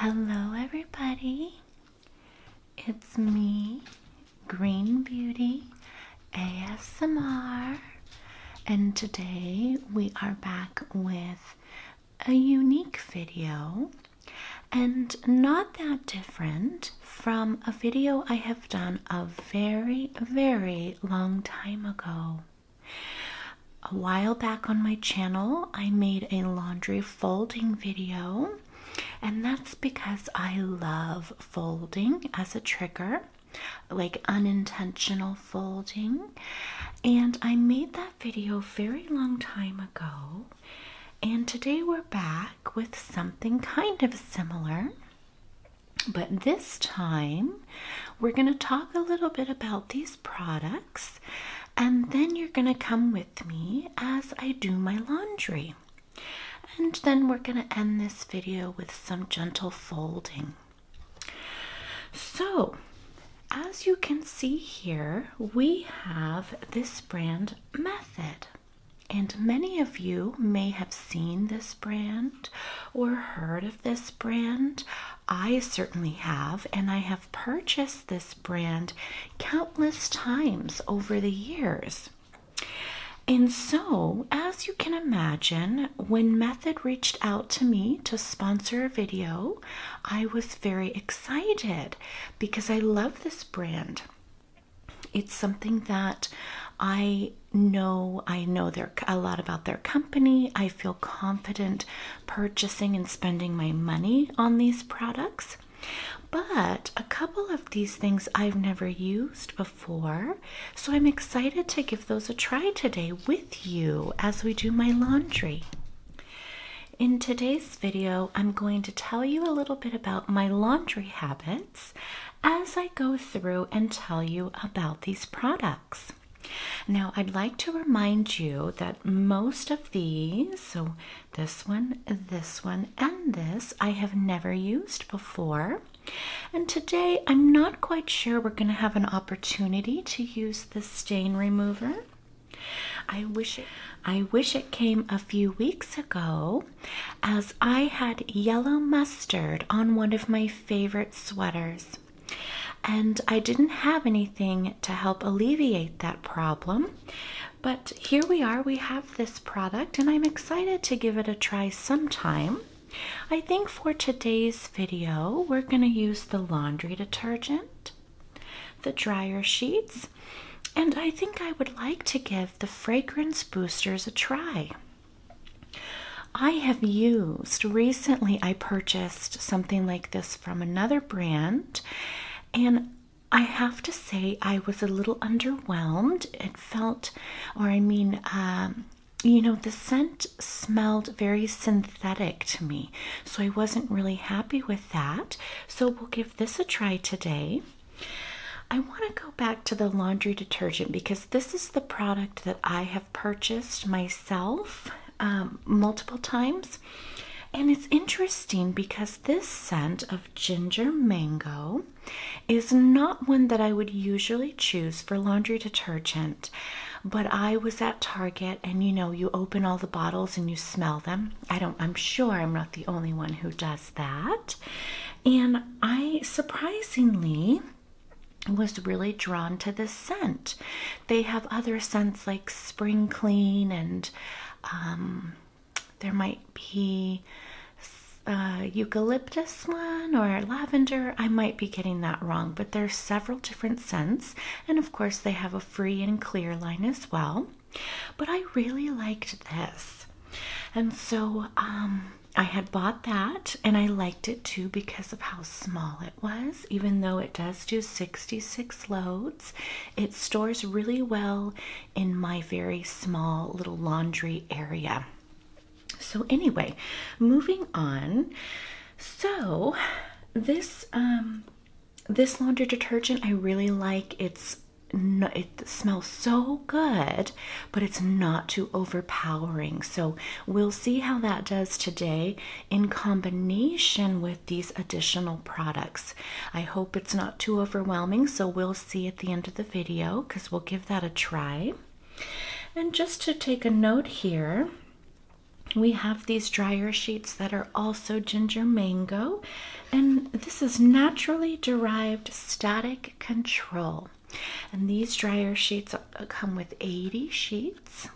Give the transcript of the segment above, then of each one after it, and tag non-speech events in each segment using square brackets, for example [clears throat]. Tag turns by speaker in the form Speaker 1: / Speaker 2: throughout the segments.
Speaker 1: Hello, everybody. It's me, Green Beauty ASMR, and today we are back with a unique video and not that different from a video I have done a very, very long time ago. A while back on my channel, I made a laundry folding video, and that's because I love folding as a trigger, like unintentional folding. And I made that video very long time ago, and today we're back with something kind of similar. But this time, we're going to talk a little bit about these products and then you're going to come with me as I do my laundry. And then we're going to end this video with some gentle folding. So, as you can see here, we have this brand method. And many of you may have seen this brand or heard of this brand. I certainly have, and I have purchased this brand countless times over the years. And so, as you can imagine, when Method reached out to me to sponsor a video, I was very excited because I love this brand. It's something that I know I know a lot about their company. I feel confident purchasing and spending my money on these products. But a couple of these things I've never used before, so I'm excited to give those a try today with you as we do my laundry. In today's video, I'm going to tell you a little bit about my laundry habits as I go through and tell you about these products. Now, I'd like to remind you that most of these, so this one, this one, and this, I have never used before. And today, I'm not quite sure we're going to have an opportunity to use this stain remover. I wish it, I wish it came a few weeks ago as I had yellow mustard on one of my favorite sweaters. And I didn't have anything to help alleviate that problem. But here we are, we have this product, and I'm excited to give it a try sometime. I think for today's video, we're going to use the laundry detergent, the dryer sheets, and I think I would like to give the fragrance boosters a try. I have used recently, I purchased something like this from another brand, and I have to say I was a little underwhelmed. It felt, or I mean, um, you know, the scent smelled very synthetic to me, so I wasn't really happy with that. So we'll give this a try today. I want to go back to the laundry detergent because this is the product that I have purchased myself um, multiple times. And it's interesting because this scent of ginger mango is not one that I would usually choose for laundry detergent. But I was at Target and you know, you open all the bottles and you smell them. I don't, I'm sure I'm not the only one who does that. And I surprisingly was really drawn to this scent. They have other scents like spring clean, and um, there might be uh, eucalyptus one or lavender. I might be getting that wrong, but there's several different scents, and of course they have a free and clear line as well. But I really liked this, and so um, I had bought that, and I liked it too because of how small it was even though it does do 66 loads, it stores really well in my very small little laundry area. So, anyway, moving on. So, this um, this laundry detergent I really like. It's it smells so good, but it's not too overpowering. So we'll see how that does today in combination with these additional products. I hope it's not too overwhelming, so we'll see at the end of the video because we'll give that a try. And just to take a note here, we have these dryer sheets that are also ginger mango, and this is naturally derived static control. And these dryer sheets come with 80 sheets.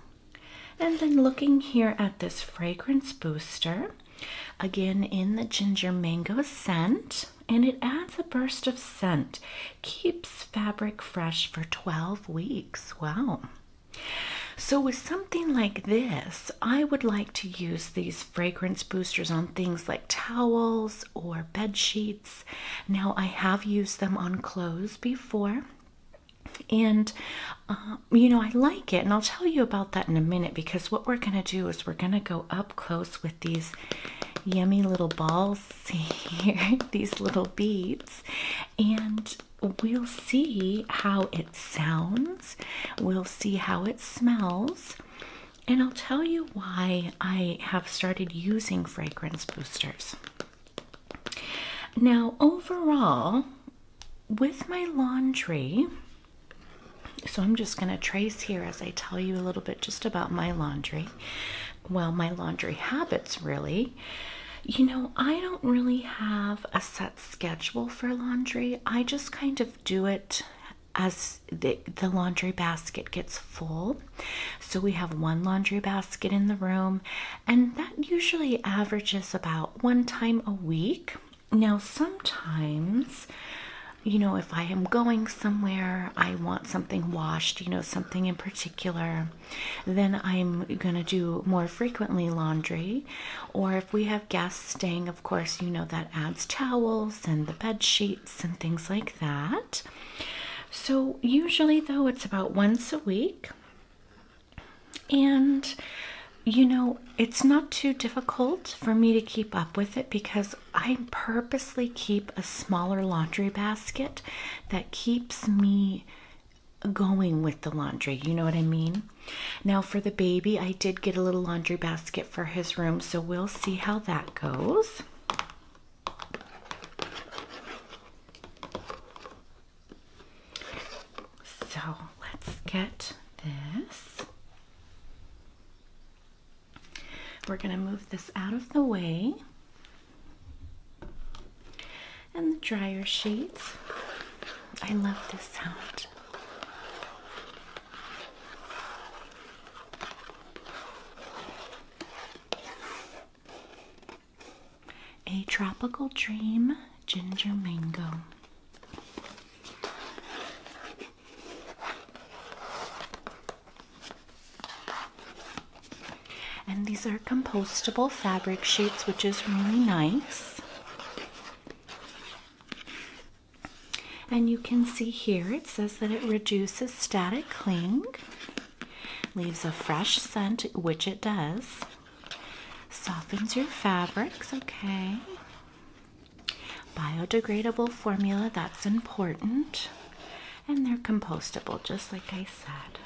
Speaker 1: And then looking here at this fragrance booster, again in the ginger mango scent, and it adds a burst of scent, keeps fabric fresh for 12 weeks. Wow. So, with something like this, I would like to use these fragrance boosters on things like towels or bed sheets. Now, I have used them on clothes before and um, you know i like it and i'll tell you about that in a minute because what we're going to do is we're going to go up close with these yummy little balls [laughs] here these little beads and we'll see how it sounds we'll see how it smells and i'll tell you why i have started using fragrance boosters now overall with my laundry, so I'm just going to trace here as I tell you a little bit just about my laundry. Well, my laundry habits, really. You know, I don't really have a set schedule for laundry. I just kind of do it as the, laundry basket gets full. So we have one laundry basket in the room, and that usually averages about one time a week. Now, sometimes, you know, if I am going somewhere, I want something washed, you know, something in particular, then I'm going to do more frequently laundry. Or if we have guests staying, of course, you know, that adds towels and the bed sheets and things like that. So, usually, though, it's about once a week. And you know, it's not too difficult for me to keep up with it because I purposely keep a smaller laundry basket that keeps me going with the laundry. You know what I mean? Now, for the baby, I did get a little laundry basket for his room, so we'll see how that goes. So let's get this. We're going to move this out of the way. And the dryer sheets. I love this sound a tropical dream ginger mango. And these are compostable fabric sheets, which is really nice. And you can see here it says that it reduces static cling, leaves a fresh scent, which it does, Softens your fabrics, okay. Biodegradable formula, that's important. And they're compostable, just like I said.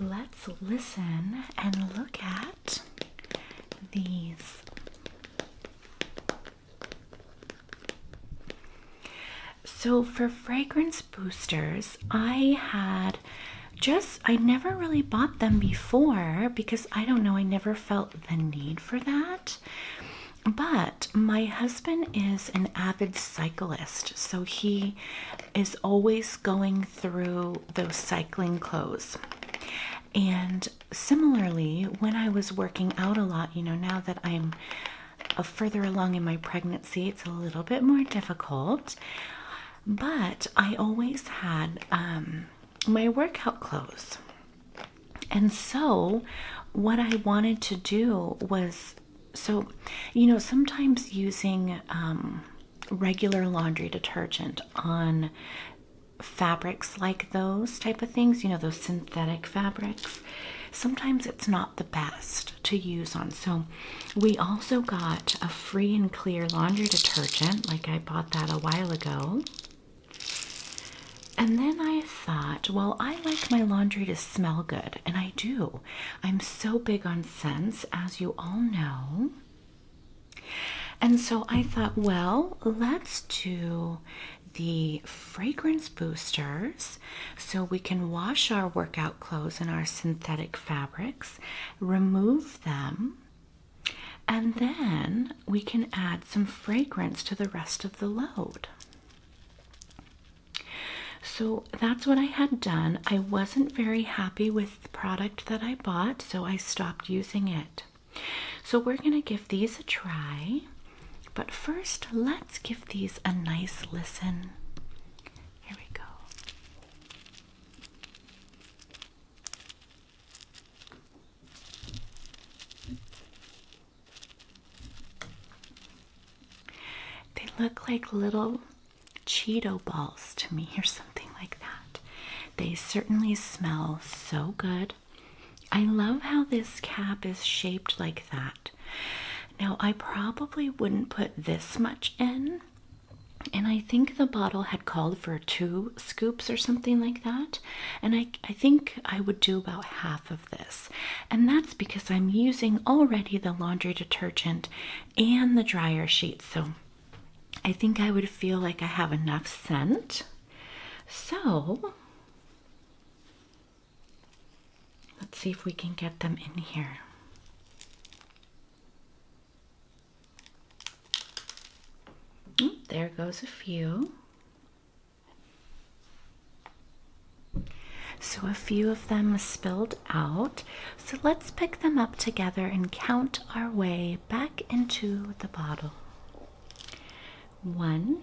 Speaker 1: Let's listen and look at these. So for fragrance boosters, I had just I never really bought them before because I don't know, I never felt the need for that. But my husband is an avid cyclist, so he is always going through those cycling clothes. And similarly, when I was working out a lot, you know, now that I'm uh, further along in my pregnancy, it's a little bit more difficult. But I always had um, my workout clothes. And so, what I wanted to do was so, you know, sometimes using um, regular laundry detergent on fabrics like those type of things, you know, those synthetic fabrics, sometimes it's not the best to use on. So, we also got a free and clear laundry detergent, like I bought that a while ago. And then I thought, well, I like my laundry to smell good, and I do. I'm so big on scents, as you all know. And so I thought, well, let's do the fragrance boosters so we can wash our workout clothes and our synthetic fabrics, remove them, and then we can add some fragrance to the rest of the load. So that's what I had done. I wasn't very happy with the product that I bought, so I stopped using it. So we're going to give these a try. But first, let's let's give these a nice listen. Here we go. They look like little Cheeto balls to me, or something like that. They certainly smell so good. I love how this cap is shaped like that. Now, I probably wouldn't put this much in, and I think the bottle had called for two scoops or something like that, and I, I think I would do about half of this, and that's because I'm using already the laundry detergent and the dryer sheet, so I think I would feel like I have enough scent. So Let's see if we can get them in here. Oh, there goes a few. So a few of them spilled out. So let's pick them up together and count our way back into the bottle. One,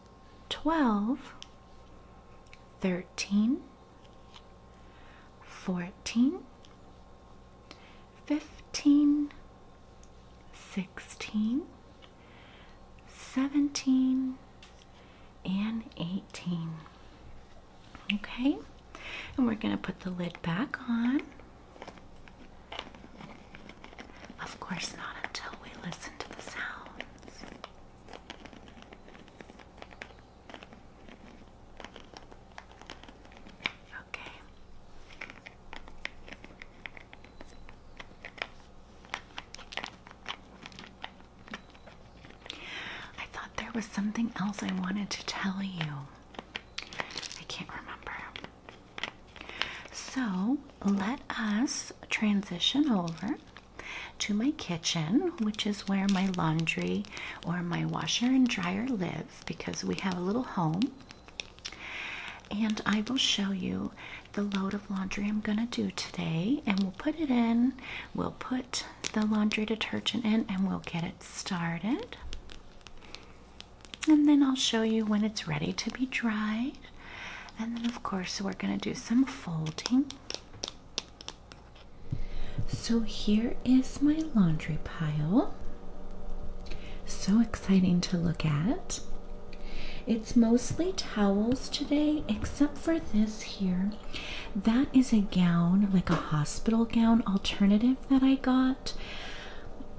Speaker 1: 12, 13, 14, 15, 16, 17, and 18. Okay, and we're going to put the lid back on. Of course, not until we listen to the sounds. Okay. I thought there was something else I wanted to tell you. I can't remember. So let us transition over to my kitchen, which is where my laundry or my washer and dryer live because we have a little home. And I will show you the load of laundry I'm going to do today. And we'll put it in, we'll put the laundry detergent in, and we'll get it started. And then I'll show you when it's ready to be dried. And then, of course, we're going to do some folding. So here is my laundry pile. So exciting to look at. It's mostly towels today, except for this here. That is a gown, like a hospital gown alternative that I got.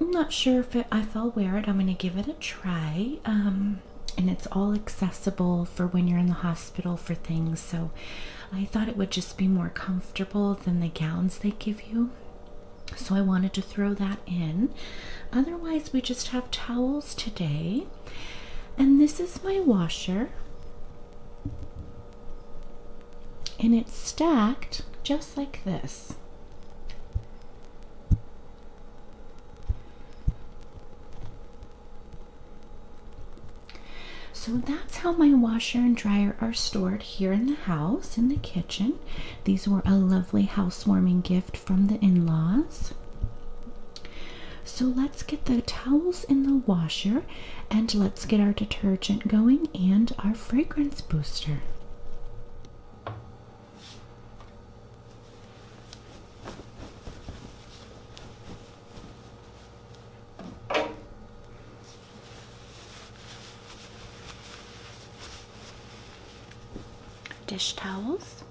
Speaker 1: I'm not sure if, I'll wear it. I'm going to give it a try. Um, and it's all accessible for when you're in the hospital for things. So I thought it would just be more comfortable than the gowns they give you. So I wanted to throw that in. Otherwise, we just have towels today. And this is my washer. And it's stacked just like this. So that's how my washer and dryer are stored here in the house, in the kitchen. These were a lovely housewarming gift from the in laws. So let's get the towels in the washer and let's get our detergent going and our fragrance booster dish towels.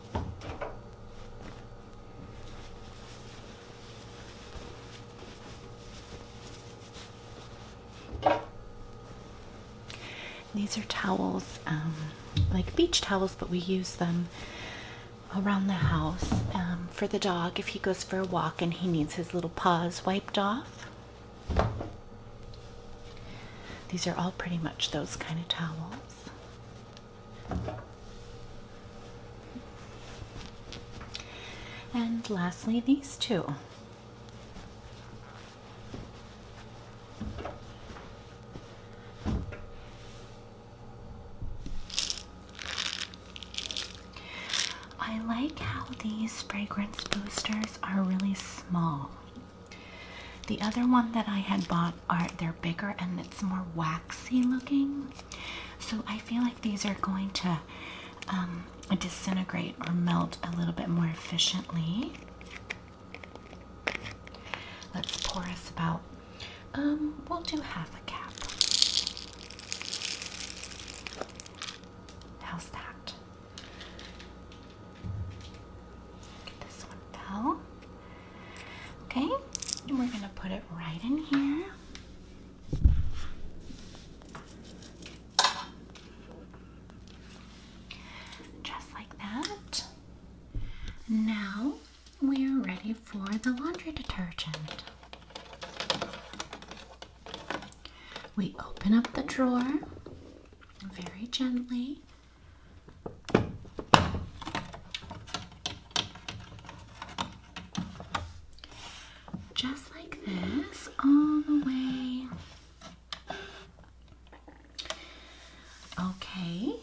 Speaker 1: These are towels, um, like beach towels, but we use them around the house um, for the dog if he goes for a walk and he needs his little paws wiped off. These are all pretty much those kind of towels. And lastly, these two. I like how these fragrance boosters are really small. The other one that I had bought are they're bigger and it's more waxy looking. So I feel like these are going to um, disintegrate or melt a little bit more efficiently. Let's pour us about um, we'll do half a cap. How's that? Get this one fell. Okay, and we're gonna put it right in here. Just like that. Now we are ready for the laundry detergent. We open up the drawer very gently. Just like this, all the way. Okay,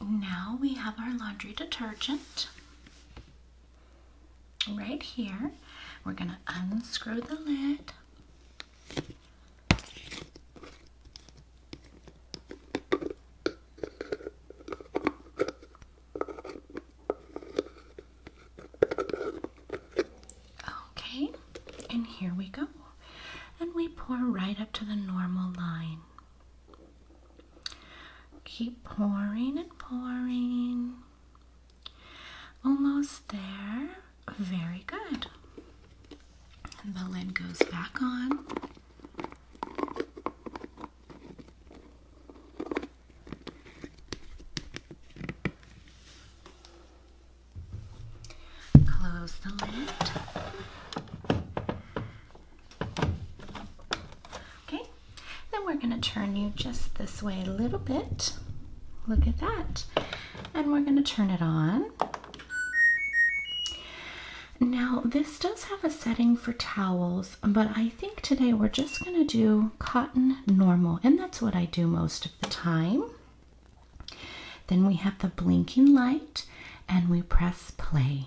Speaker 1: now we have our laundry detergent right here. We're going to unscrew the lid. Okay, and here we go. And we pour right up to the normal line. Keep pouring and pouring. Almost there. Very good. And the lid goes back on. Close the lid. Okay, then we're going to turn you just this way a little bit. Look at that. And we're going to turn it on. Now, this does have a setting for towels, but I think today we're just going to do cotton normal, and that's what I do most of the time. Then we have the blinking light, and we press play.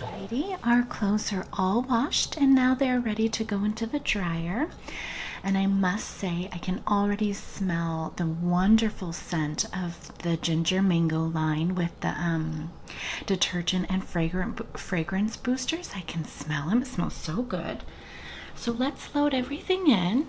Speaker 1: Lady, our clothes are all washed and now they're ready to go into the dryer. And I must say, I can already smell the wonderful scent of the ginger mango line with the um, detergent and fragrance boosters. I can smell them, it smells so good. So let's load everything in.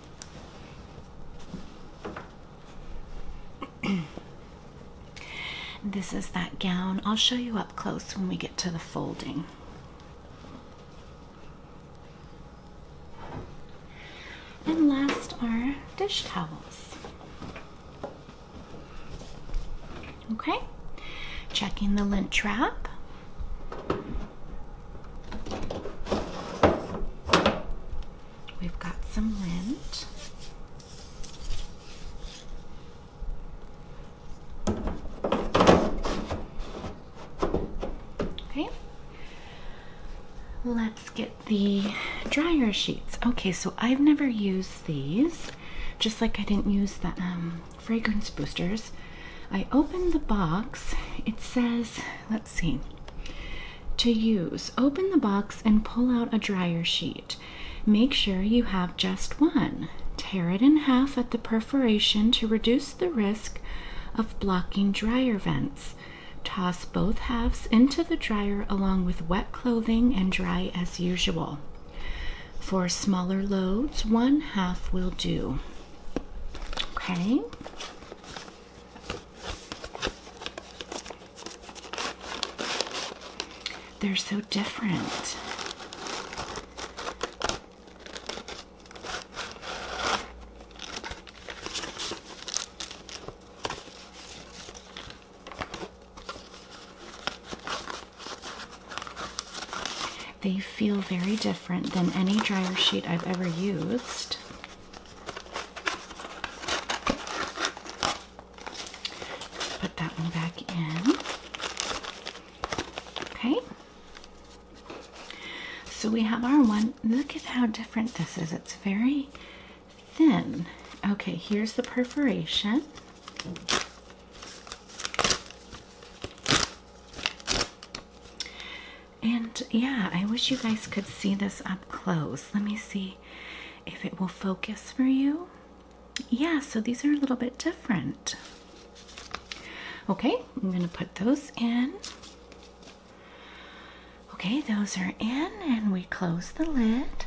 Speaker 1: this is that gown. I'll show you up close when we get to the folding. And last are dish towels. Okay, checking the lint trap. We've got some lint. Okay. Let's get the dryer sheets. Okay, so I've never used these, just like I didn't use the um, fragrance boosters. I open the box. It says, let's without To use, open the box and pull out a dryer sheet. Make sure you have just one. Tear it in half at the perforation to reduce the risk of blocking dryer vents. Toss both halves into the dryer along with wet clothing and dry as usual. For smaller loads, one half will do. Okay, they're so different. They feel very different than any dryer sheet I've ever used put that one back in. Okay. So we have our one. Look at how different this is. It's very thin. Okay, here's the perforation. And yeah, I wish you guys could see this up close. Let me see if it will focus for you. Yeah, so these are a little bit different. Okay, I'm going to put those in. Okay, those are in, and we close the lid.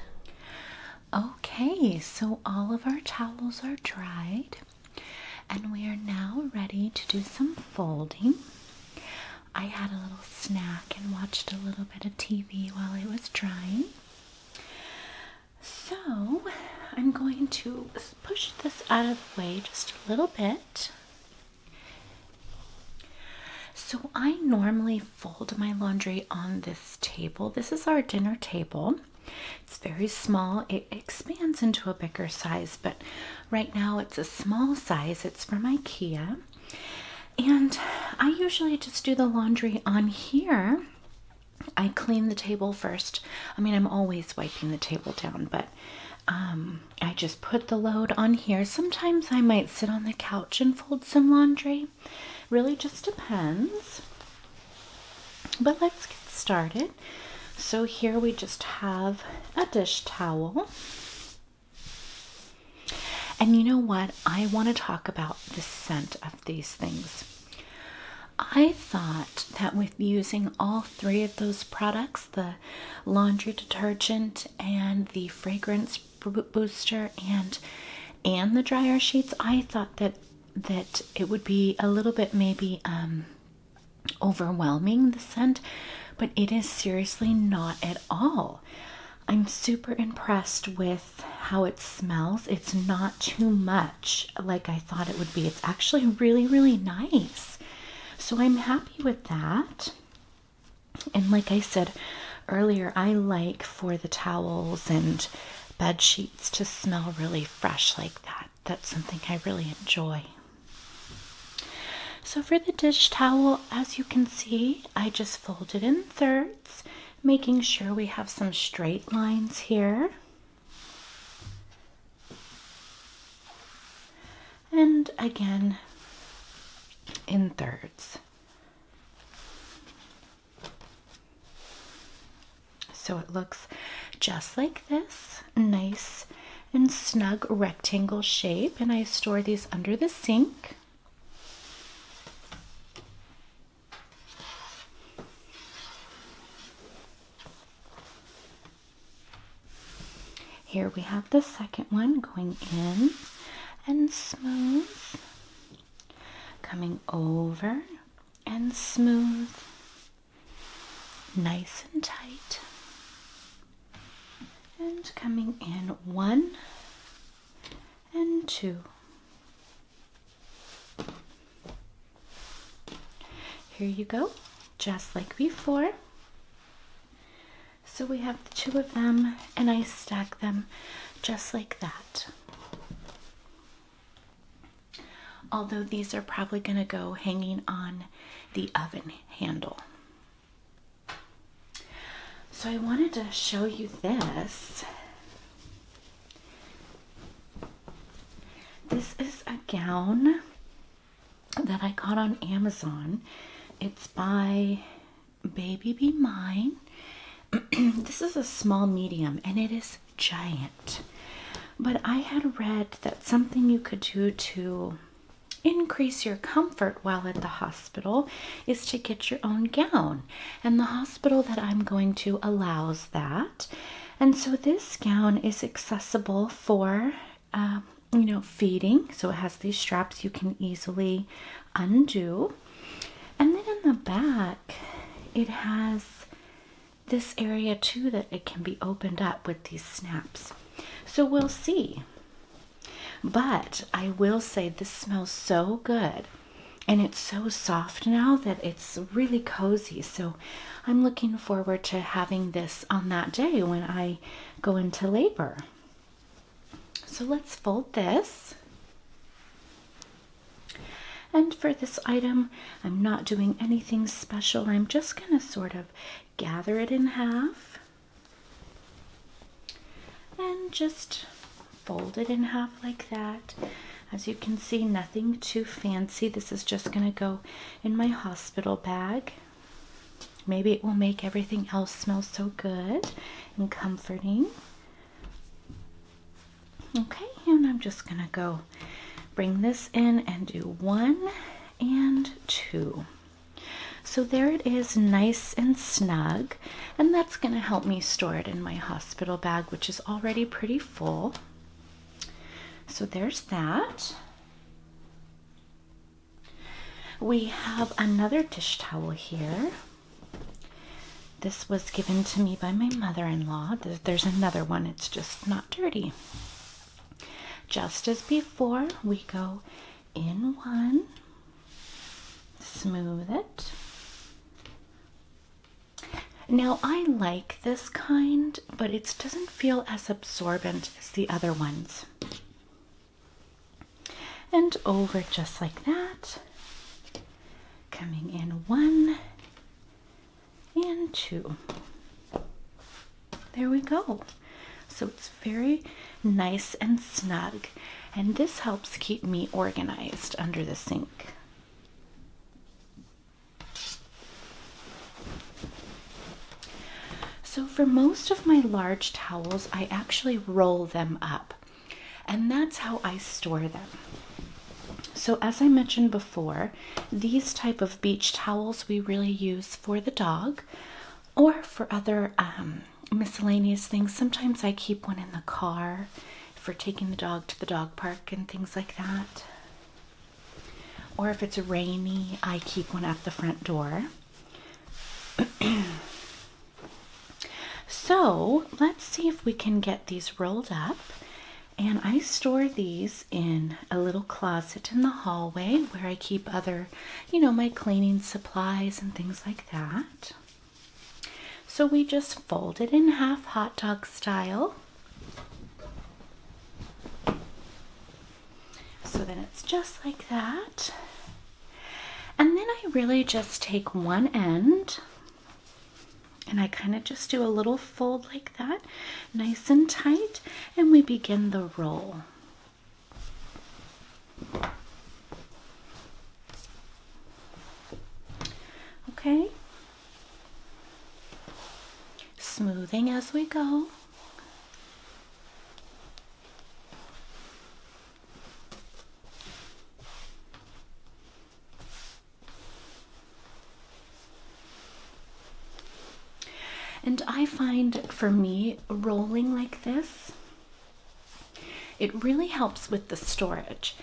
Speaker 1: Okay, so all of our towels are dried, and we are now ready to do some folding. I had a little snack and watched a little bit of TV while I was drying. So I'm going to push this out of the way just a little bit. So I normally fold my laundry on this table. This is our dinner table. It's very small. It expands into a bigger size, but Right now it's a small size, it's from IKEA. And I usually just do the laundry on here. I clean the table first. I mean, I'm always wiping the table down, but um, I just put the load on here. Sometimes I might sit on the couch and fold some laundry. Really just depends. But let's get started. So here we just have a dish towel. And you know what? I want to talk about the scent of these things. I thought that with using all three of those products the laundry detergent and the fragrance booster and and the dryer sheets I thought that that it would be a little bit maybe um overwhelming, the scent, but it is seriously not at all. I'm super impressed with how it smells. It's not too much like I thought it would be. It's actually really, really nice. So I'm happy with that. And like I said earlier, I like for the towels and bed sheets to smell really fresh like that. That's something I really enjoy. So for the dish towel, as you can see, I just folded in thirds, making sure we have some straight lines here. And again, in thirds. So it looks just like this, nice and snug rectangle shape and I store these under the sink. Here we have the second one going in and smooth, coming over and smooth, nice and tight and coming in one and two. Here you go, just like before. So we have the two of them, and I stack them just like that. Although these are probably going to go hanging on the oven handle. So I wanted to show you this. This is a gown that I got on Amazon. It's by Baby Be Mine. [clears throat] this is a small medium and it is giant. But I had read that something you could do to increase your comfort while at the hospital is to get your own gown. And the hospital that I'm going to allows that. And so this gown is accessible for, um, you know, feeding. So it has these straps you can easily undo. And then in the back, it has this area too that it can be opened up with these snaps. So we'll see. But I will say this smells so good and it's so soft now that it's really cozy. So I'm looking forward to having this on that day when I go into labor. So let's fold this. And for this item, I'm not doing anything special. I'm just going to sort of gather it in half and just fold it in half like that. As you can see, nothing too fancy. This is just going to go in my hospital bag. Maybe it will make everything else smell so good and comforting. Okay, and I'm just going to go bring this in and do one and two. So there it is, nice and snug, and that's going to help me store it in my hospital bag, which is already pretty full. So there's that. We have another dish towel here. This was given to me by my mother in law. There's another one, it's just not dirty. Just as before, we go in one, smooth it. Now, I like this kind, but it doesn't feel as absorbent as the other ones. And over just like that, coming in one and two. There we go. So it's very nice and snug, and this helps keep me organized under the sink. So, for most of my large towels, I actually roll them up, and that's how I store them. So, as I mentioned before, these type of beach towels we really use for the dog or for other um, miscellaneous things. Sometimes I keep one in the car for taking the dog to the dog park and things like that. Or if it's rainy, I keep one at the front door. [clears throat] so let's see if we can get these rolled up. And I store these in a little closet in the hallway where I keep other you know, my cleaning supplies and things like that. So we just fold it in half hot dog style. So then it's just like that. And then I really just take one end and I kind of just do a little fold like that, nice and tight, and we begin the roll. Okay. Smoothing as we go. And I find for me, rolling like this, it really helps with the storage.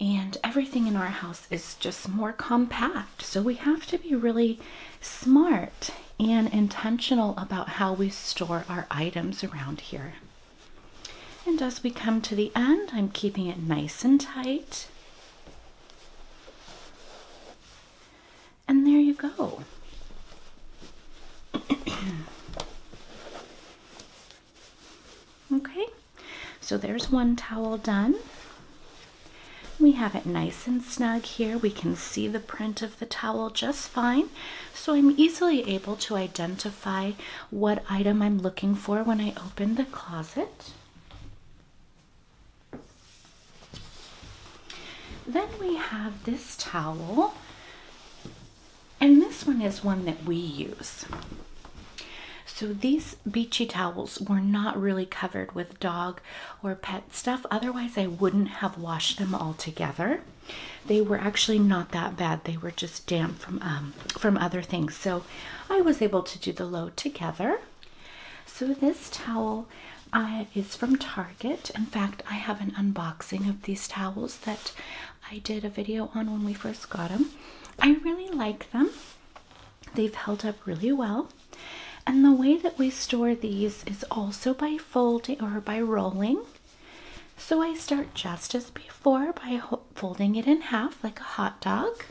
Speaker 1: And everything in our house is just more compact. So we have to be really smart and intentional about how we store our items around here. And as we come to the end, I'm keeping it nice and tight. And there you go. [clears throat] okay, so there's one towel done. We have it nice and snug here. We can see the print of the towel just fine. So I'm easily able to identify what item I'm looking for when I open the closet. Then we have this towel, and this one is one that we use. So these beachy towels were not really covered with dog or pet stuff, otherwise, I wouldn't have washed them all together. They were actually not that bad. They were just damp from um, from other things. So I was able to do the load together. So this towel towel is from Target. In fact, I have an unboxing of these towels that I did a video on when we first got them. I really like them, they've held up really well. And the way that we store these is also by folding or by rolling. So I start just as before by folding it in half like a hot dog.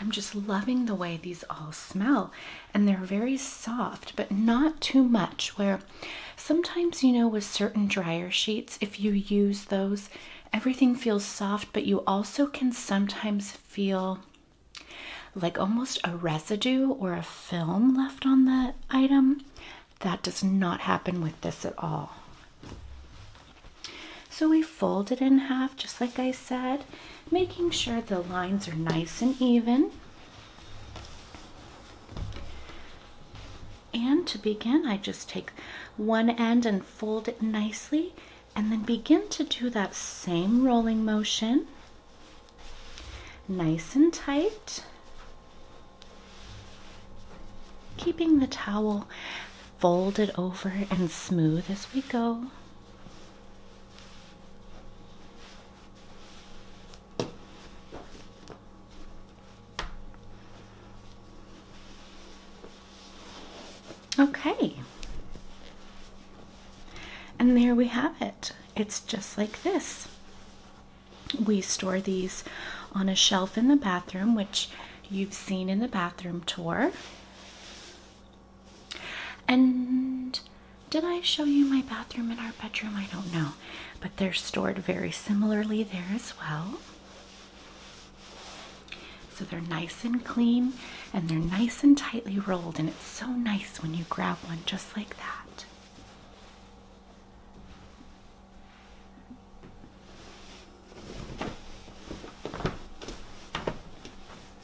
Speaker 1: I'm just loving the way these all smell, and they're very soft, but not too much. Where sometimes, you know, with certain dryer sheets, if you use those, everything feels soft, but you also can sometimes feel like almost a residue or a film left on the item. That does not happen with this at all. So we fold it in half, just like I said making sure the lines are nice and even. And to begin, I just take one end and fold it nicely and then begin to do that same rolling motion. Nice and tight. Keeping the towel folded over and smooth as we go. Okay. And there we have it. It's just like this. We store these on a shelf in the bathroom, which you've seen in the bathroom tour. And did I show you my bathroom in our bedroom? I don't know, but they're stored very similarly there as well. So they're nice and clean and they're nice and tightly rolled, and it's so nice when you grab one just like that.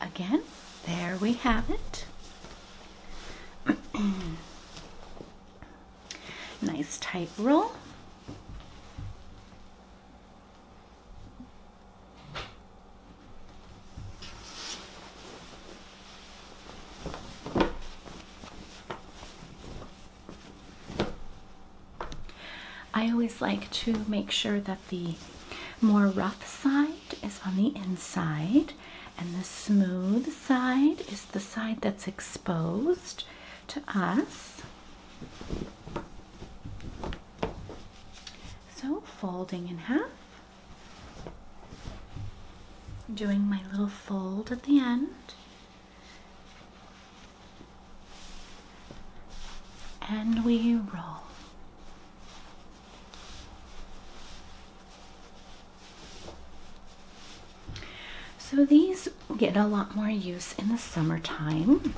Speaker 1: Again, there we have it. [clears throat] nice tight roll. I always like to make sure that the more rough side is on the inside, and the smooth side is the side that's exposed to us. So, folding in half, doing my little fold at the end. And we roll. So these get a lot more use in the summertime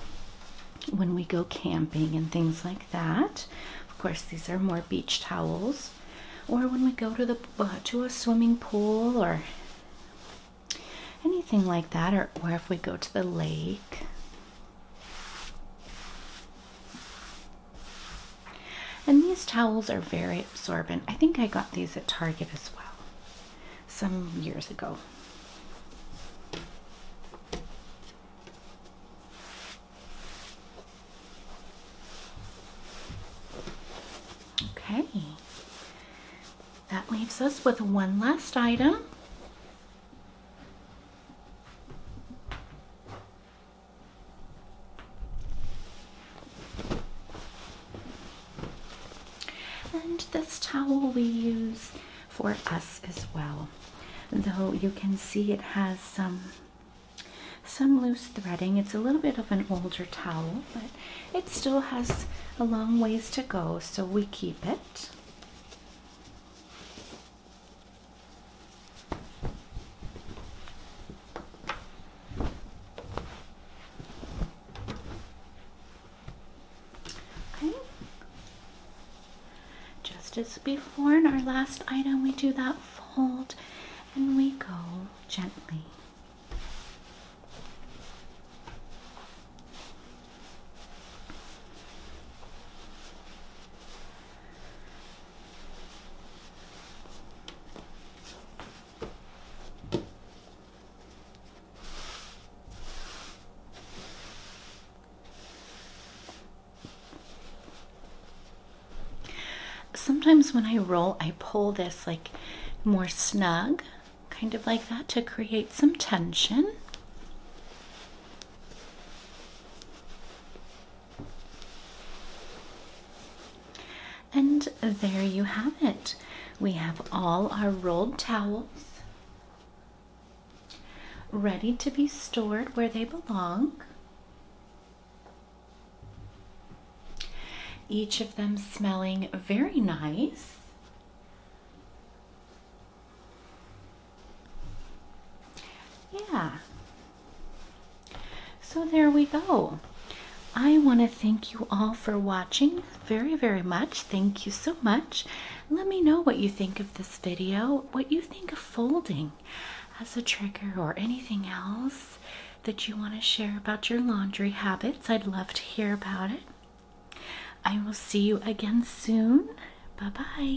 Speaker 1: when we go camping and things like that. Of course, these are more beach towels or when we go to the uh, to a swimming pool or anything like that or, or if we go to the lake and these towels are very absorbent. I think I got these at Target as well some years ago. Okay, that leaves us with one last item. And this towel we use for us as well. Though you can see it has some some loose threading. It's a little bit of an older towel, but it still has a long ways to go, so we keep it. Just as before in our last item, we do that fold and we go gently. Sometimes when I roll, I pull this like more snug, kind of like that to create some tension. And there you have it. We have all our rolled towels ready to be stored where they belong. Each of them smelling very nice. Yeah. So there we go. I want to thank you all for watching very, very much. Thank you so much. Let me know what you think of this video, what you think of folding as a trigger or anything else that you want to share about your laundry habits. I'd love to hear about it. I will see you again soon. Bye bye.